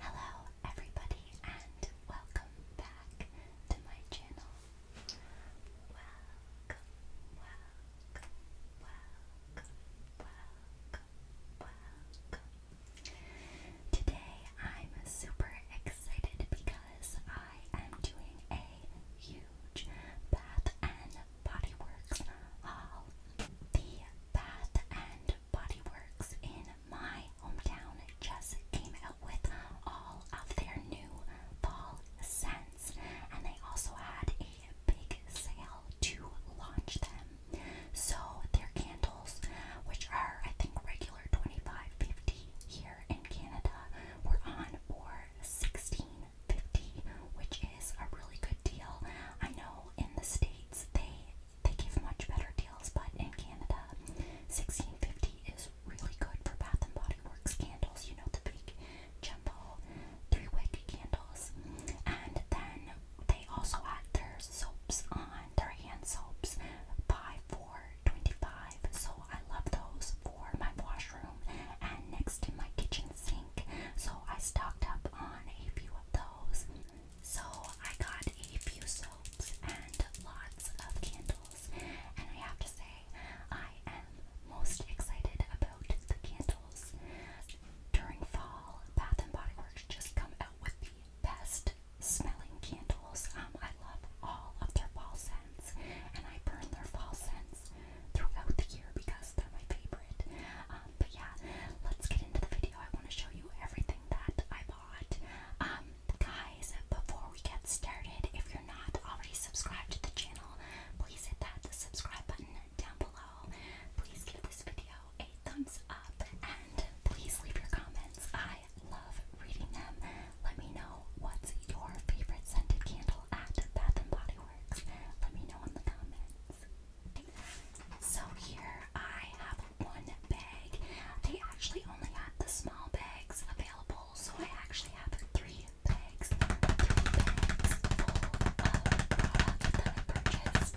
Hello, everybody, and welcome back to my channel. Welcome, welcome, welcome, welcome, welcome. Today I'm super excited because I am doing a huge and Body Works The Bath and Body in my hometown just came out with all of their new fall scents, and they also had a big sale to launch them. So their candles, which are I think regular 25.50 here in Canada, were on for 16 fifty, which is a really good deal. I know in the states they they give much better deals, but in Canada, sixteen fifty is really good for Bath and Body Works candles. You know the big jumbo three wick candles, and then they also had their soaps on their hand soaps by four twenty five. So I love those for my washroom and next to my kitchen sink. So I stocked up on a few of those. So I got a few soaps and lots of candles. And I have to say, I am most excited about the candles. During fall, Bath and Body Works just come out with the best smelling candles. Um, I love all of their fall scents, and I burn their fall scents throughout the year because they're my favorite. Um, but yeah, let's get into the video. I want to show you everything that I bought. Um, guys, before we get started, if you're not already subscribed to the channel, please hit that subscribe button down below. Please give this video a thumbs up and please leave your comments. I love reading them. Let me know what's your favorite scented candle at Bath and Body Works. Let me know in the comments. So here I have one bag. They actually only had the small bags available, so I actually have three bags, three bags full of uh, product that I purchased.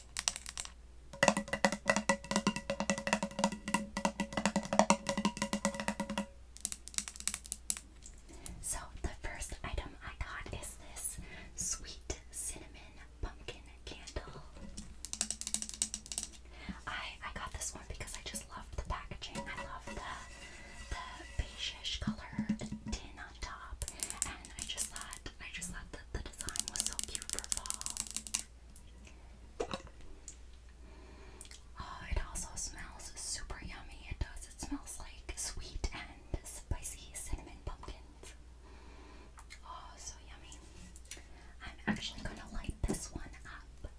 So, the first item I got is this sweet cinnamon pumpkin candle. I I got this one because I just loved the packaging. I love the the beigeish color tin on top, and I just thought I just thought that the design was so cute for fall. Uh, it also smells super yummy. It does. It smells like sweet and spicy cinnamon pumpkins. Oh, so yummy. I'm actually going to light this one up.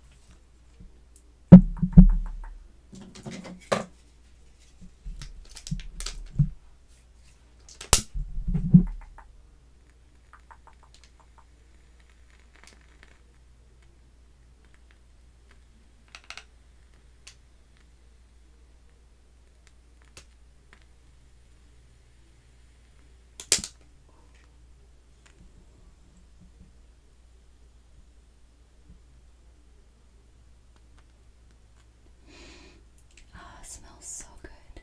Ah, oh, it smells so good.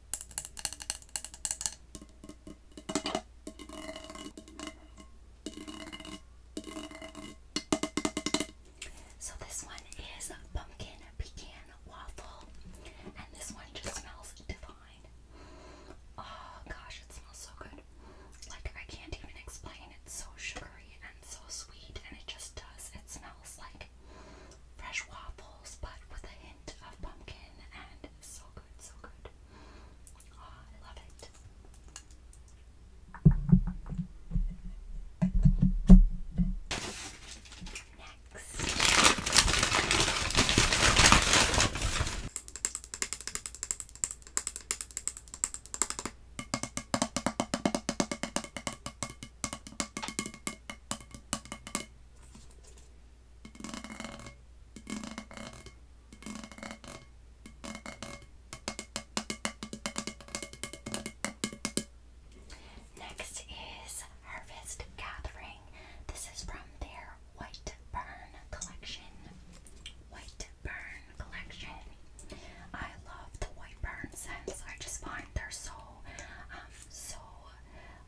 So this one is pumpkin pecan waffle, and this one just smells divine. Oh gosh, it smells so good. Like I can't even explain. It's so sugary and so sweet, and it just does. It smells like fresh waffles, but with a hint of pumpkin, and so good, so good. Ah, I love it. Next. Next is Harvest Gathering. This is from their White Burn collection. White Burn collection. I love the White Burn scents. I just find they're so, um, so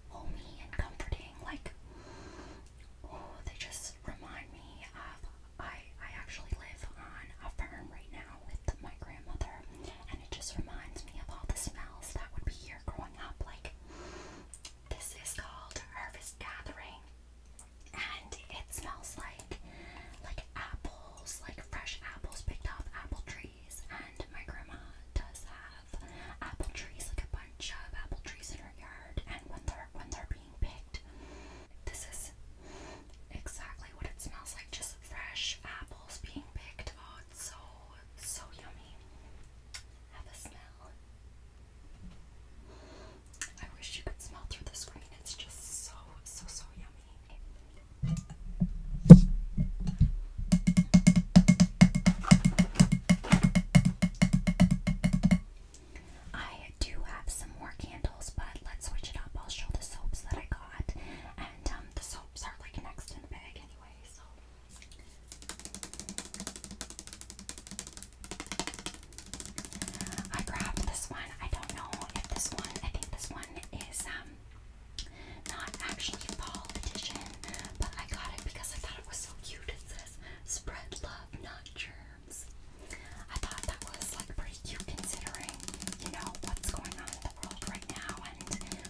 homey and comforting. Like, oh, they just remind me of. I I actually live on a farm right now with my grandmother, and it just reminds me of all the smells that would be here growing up. Like, this is called Harvest Gathering, and it smells like like apples, like fresh apples picked off apple trees and my grandma does have apple trees, like a bunch of apple trees in her yard. And when they're when they're being picked, this is exactly what it smells like, just fresh apples being picked. Oh, it's so so yummy. Have a smell. I wish you could smell through the screen. It's just so so so yummy. I do have some more candles, but let's switch it up. I'll show the soaps that I got, and um, the soaps are like next in the bag anyway. So. I grabbed this one. I don't know if this one, I think this one is um not actually fall but I got it because I thought it was so cute. It says spread love, not germs. I thought that was like pretty cute considering, you know, what's going on in the world right now and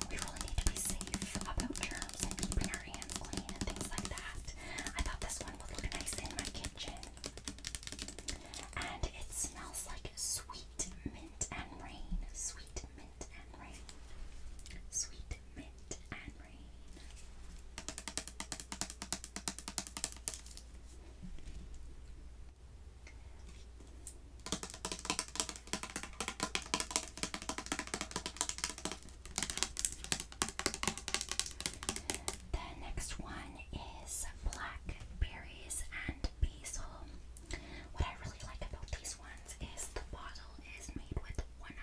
we really need to be safe about germs and keeping our hands clean and things like that. I thought this one would look nice in my kitchen. And it smells like sweet mint and rain. Sweet mint. Sweet mint and rain. The next one is blackberries and basil. What I really like about these ones is the bottle is made with 100%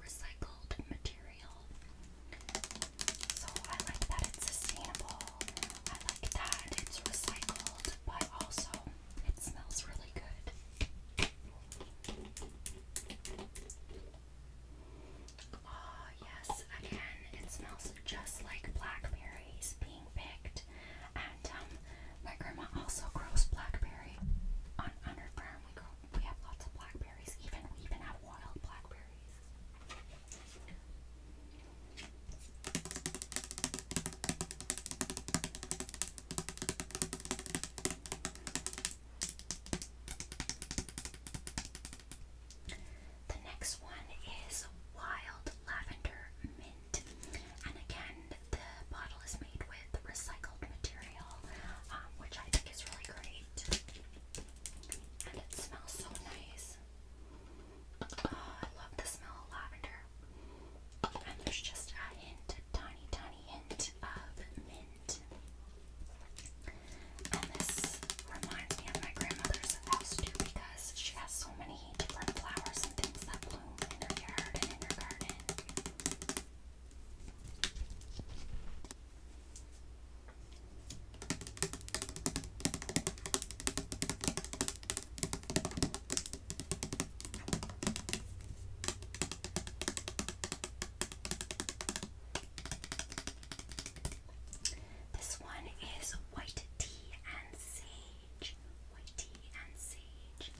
recycled material. So I like that it's sustainable. I like that it's recycled, but also it smells really good. Oh yes, again, it smells just like blackberries, picked. And um, my grandma also grows blackberry on on her farm. We grow, we have lots of blackberries. Even we even have wild blackberries. The next one is wild lavender and again, the bottle is made with recycled material, um, which I think is really great. And it smells so nice. Ah, I love the smell of lavender. And there's just a hint, a tiny, tiny hint of mint. And this reminds me of my grandmother's house too because she has so many different flowers and things that bloom in your yard and in your garden. This one is white tea and sea white tea and sage.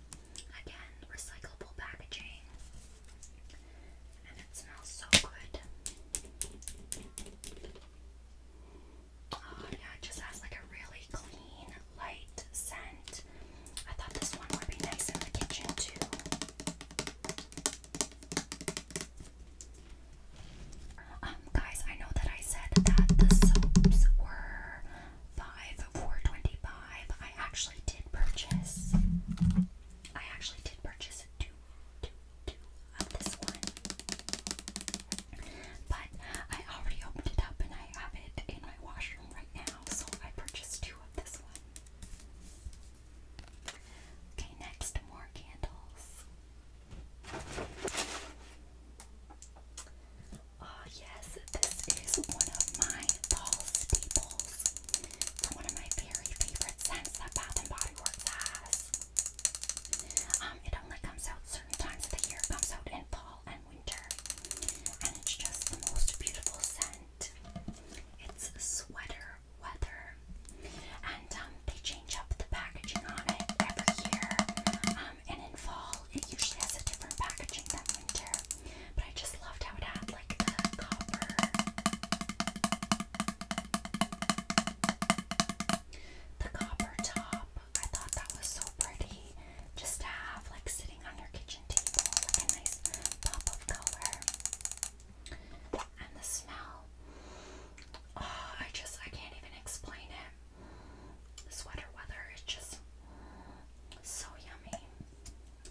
Again, recyclable packaging. And it smells so good. Oh yeah, it just has like a really clean, light scent. I thought this one would be nice in the kitchen too. Um, guys, I know that I said that the soaps were five for I actually did purchase. I actually did purchase a two, two, two of this one, but I already opened it up and I have it in my washroom right now. So I purchased two of this one. Okay, next more candles. Uh, yes, this is one of my fall staples from one of my very favorite scents that Bath and Body Works has. Um, it only comes out certain times of the year. It comes out in fall and winter, and it's just the most beautiful scent. It's sweater weather, and um, they change up the packaging on it every year. Um, and in fall it usually has a different packaging than winter. But I just loved how it had like the copper. The copper top. I thought that was so pretty. Just to have like sitting on your kitchen table, like a nice pop of color. And the smell. Ah, I just I can't even explain it. This wetter weather is just so yummy.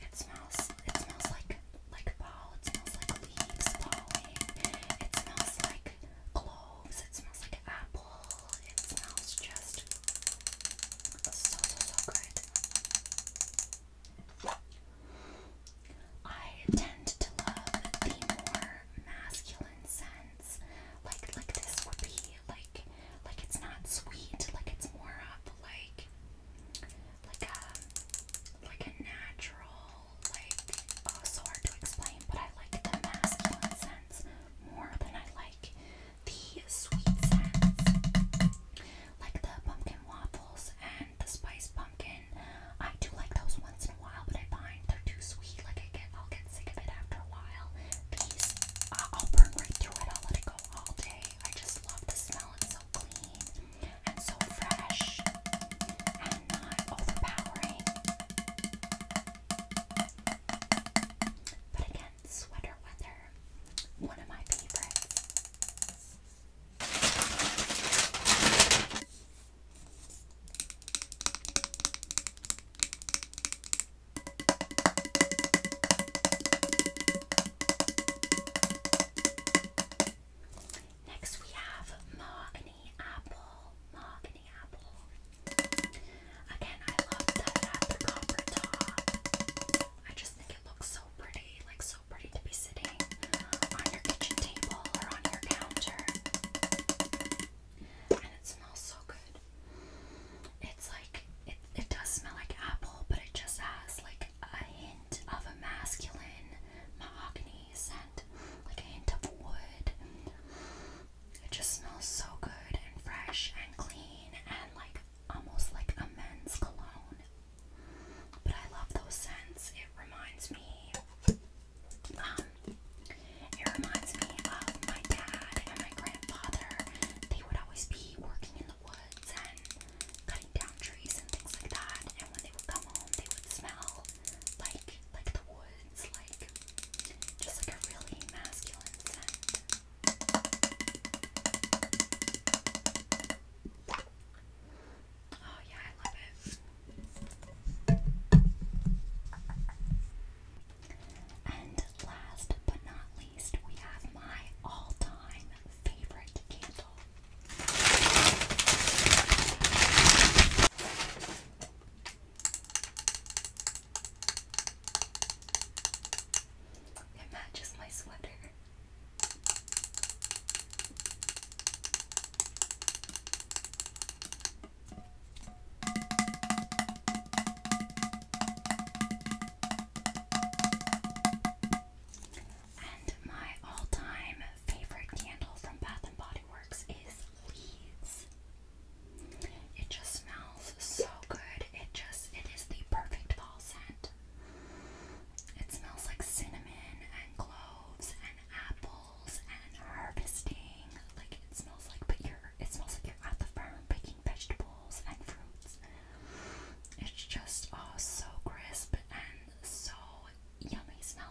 It smells it smells like like fall, it smells like leaves falling, it smells like cloves, it smells like apple, it smells just so so so good. I tend to love the more masculine scents. Like like this would be like like it's not sweet, like it's more of like like a um, like a natural like oh so hard to explain, but I like the masculine sense more than I like the sweet sense. Like the pumpkin waffles and the spice pumpkin. I do like those once in a while, but I find they're too sweet. Like I get i get sick of it after a while. These, uh, I'll burn right through it. I'll let it go all day. I just love the smell. It's so clean and so fresh and not overpowering. But again, sweater weather, one of my favorites. Next we have Mahogany Apple. Mahogany Apple. Again, I love the copper top. I just think it looks so pretty, like so pretty to be sitting on your kitchen table or on your counter and it smells so good. It's like it, it does smell like apple, but it just has like a hint of a masculine mahogany scent, like a hint of wood. It just smells so good and fresh and clean and like almost like a men's cologne. But I love those scents. It reminds me um, um, it reminds me of my dad and my grandfather. They would always be working in the woods and cutting down trees and things like that. And when they would come home, they would smell like like the woods, like just like a really masculine scent. Oh yeah, I love it. And last but not least, we have my all time favorite candle. It matches my sweater. And my all-time favorite candle from Bath and Body Works is Leaves. It just smells so good. It just it is the perfect fall scent. It smells like cinnamon and cloves and apples and harvesting. Like it smells like but you're it smells like you're at the farm picking vegetables and fruits. It's just all oh, so crisp and so yummy smelling.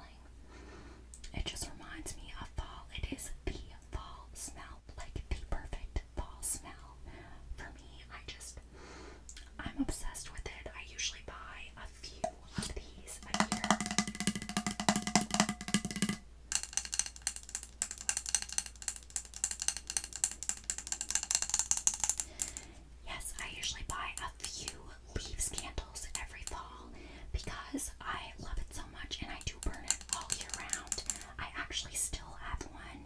It just reminds me of fall. It is the fall smell, like the perfect fall smell for me. I just, I'm obsessed with it. I usually buy a few of these a year. Yes, I usually buy a few leaves candles every fall because I love it so much and I do burn it all year round. I actually still have one.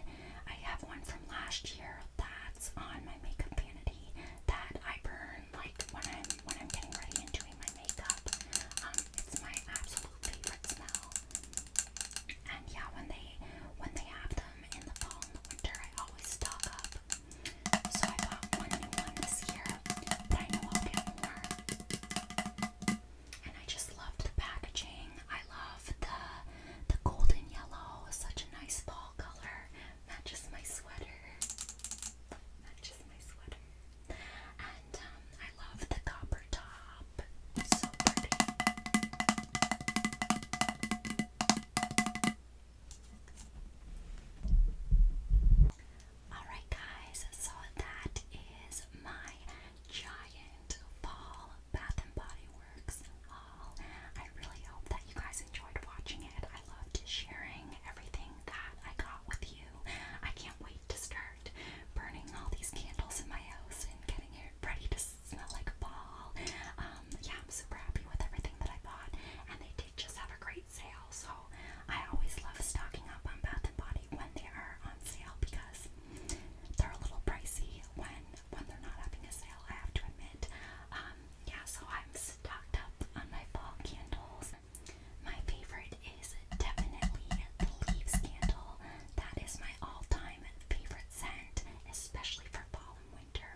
I have one from last year that's on my makeup vanity that I burn like when I'm when I'm getting ready and doing my makeup. Um, it's my absolute favorite smell. And yeah, when they when they have them in the fall and winter, I always stock up. So I bought one new one this year, but I know I'll get more. And I just love the packaging. I love the the golden yellow, such a nice fall color. Matches my sweater. Matches my sweater. And um, I love the copper top. Alright, guys, so that is my giant fall Bath and Body Works haul. I really hope that you guys enjoyed watching it. I loved sharing everything that I got with you. I can't wait to start burning all these candles in my house and getting it ready to smell like fall. Um, yeah, I'm super happy with everything that I bought, and they did just have a great sale. So I always love stocking up on Bath and Body when they are on sale because they're a little pricey when when they're not having a sale. I have to admit. Um, yeah, so I'm stocked up on my fall candles my favorite is definitely the Leaves Candle. That is my all-time favorite scent, especially for fall and winter.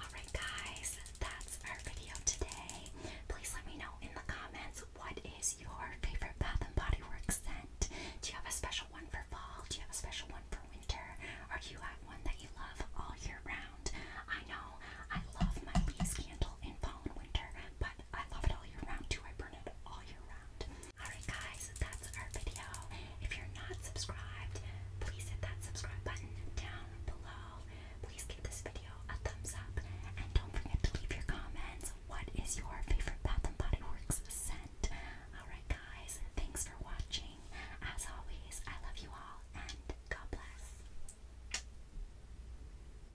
Alright guys, that's our video today. Please let me know in the comments what is your favorite Bath & Body Works scent. Do you have a special one for fall? Do you have a special one for winter? Or do you have one that you love all year round? I know I love my Leaves Candle in fall and winter, but I love it all year round too. I burn it all year round. Alright guys, that's our video. If you're not subscribed, please hit that subscribe button down below. Please give this video a thumbs up and don't forget to leave your comments. What is your favorite Bath and Body Works scent? Alright guys, thanks for watching. As always, I love you all and God bless.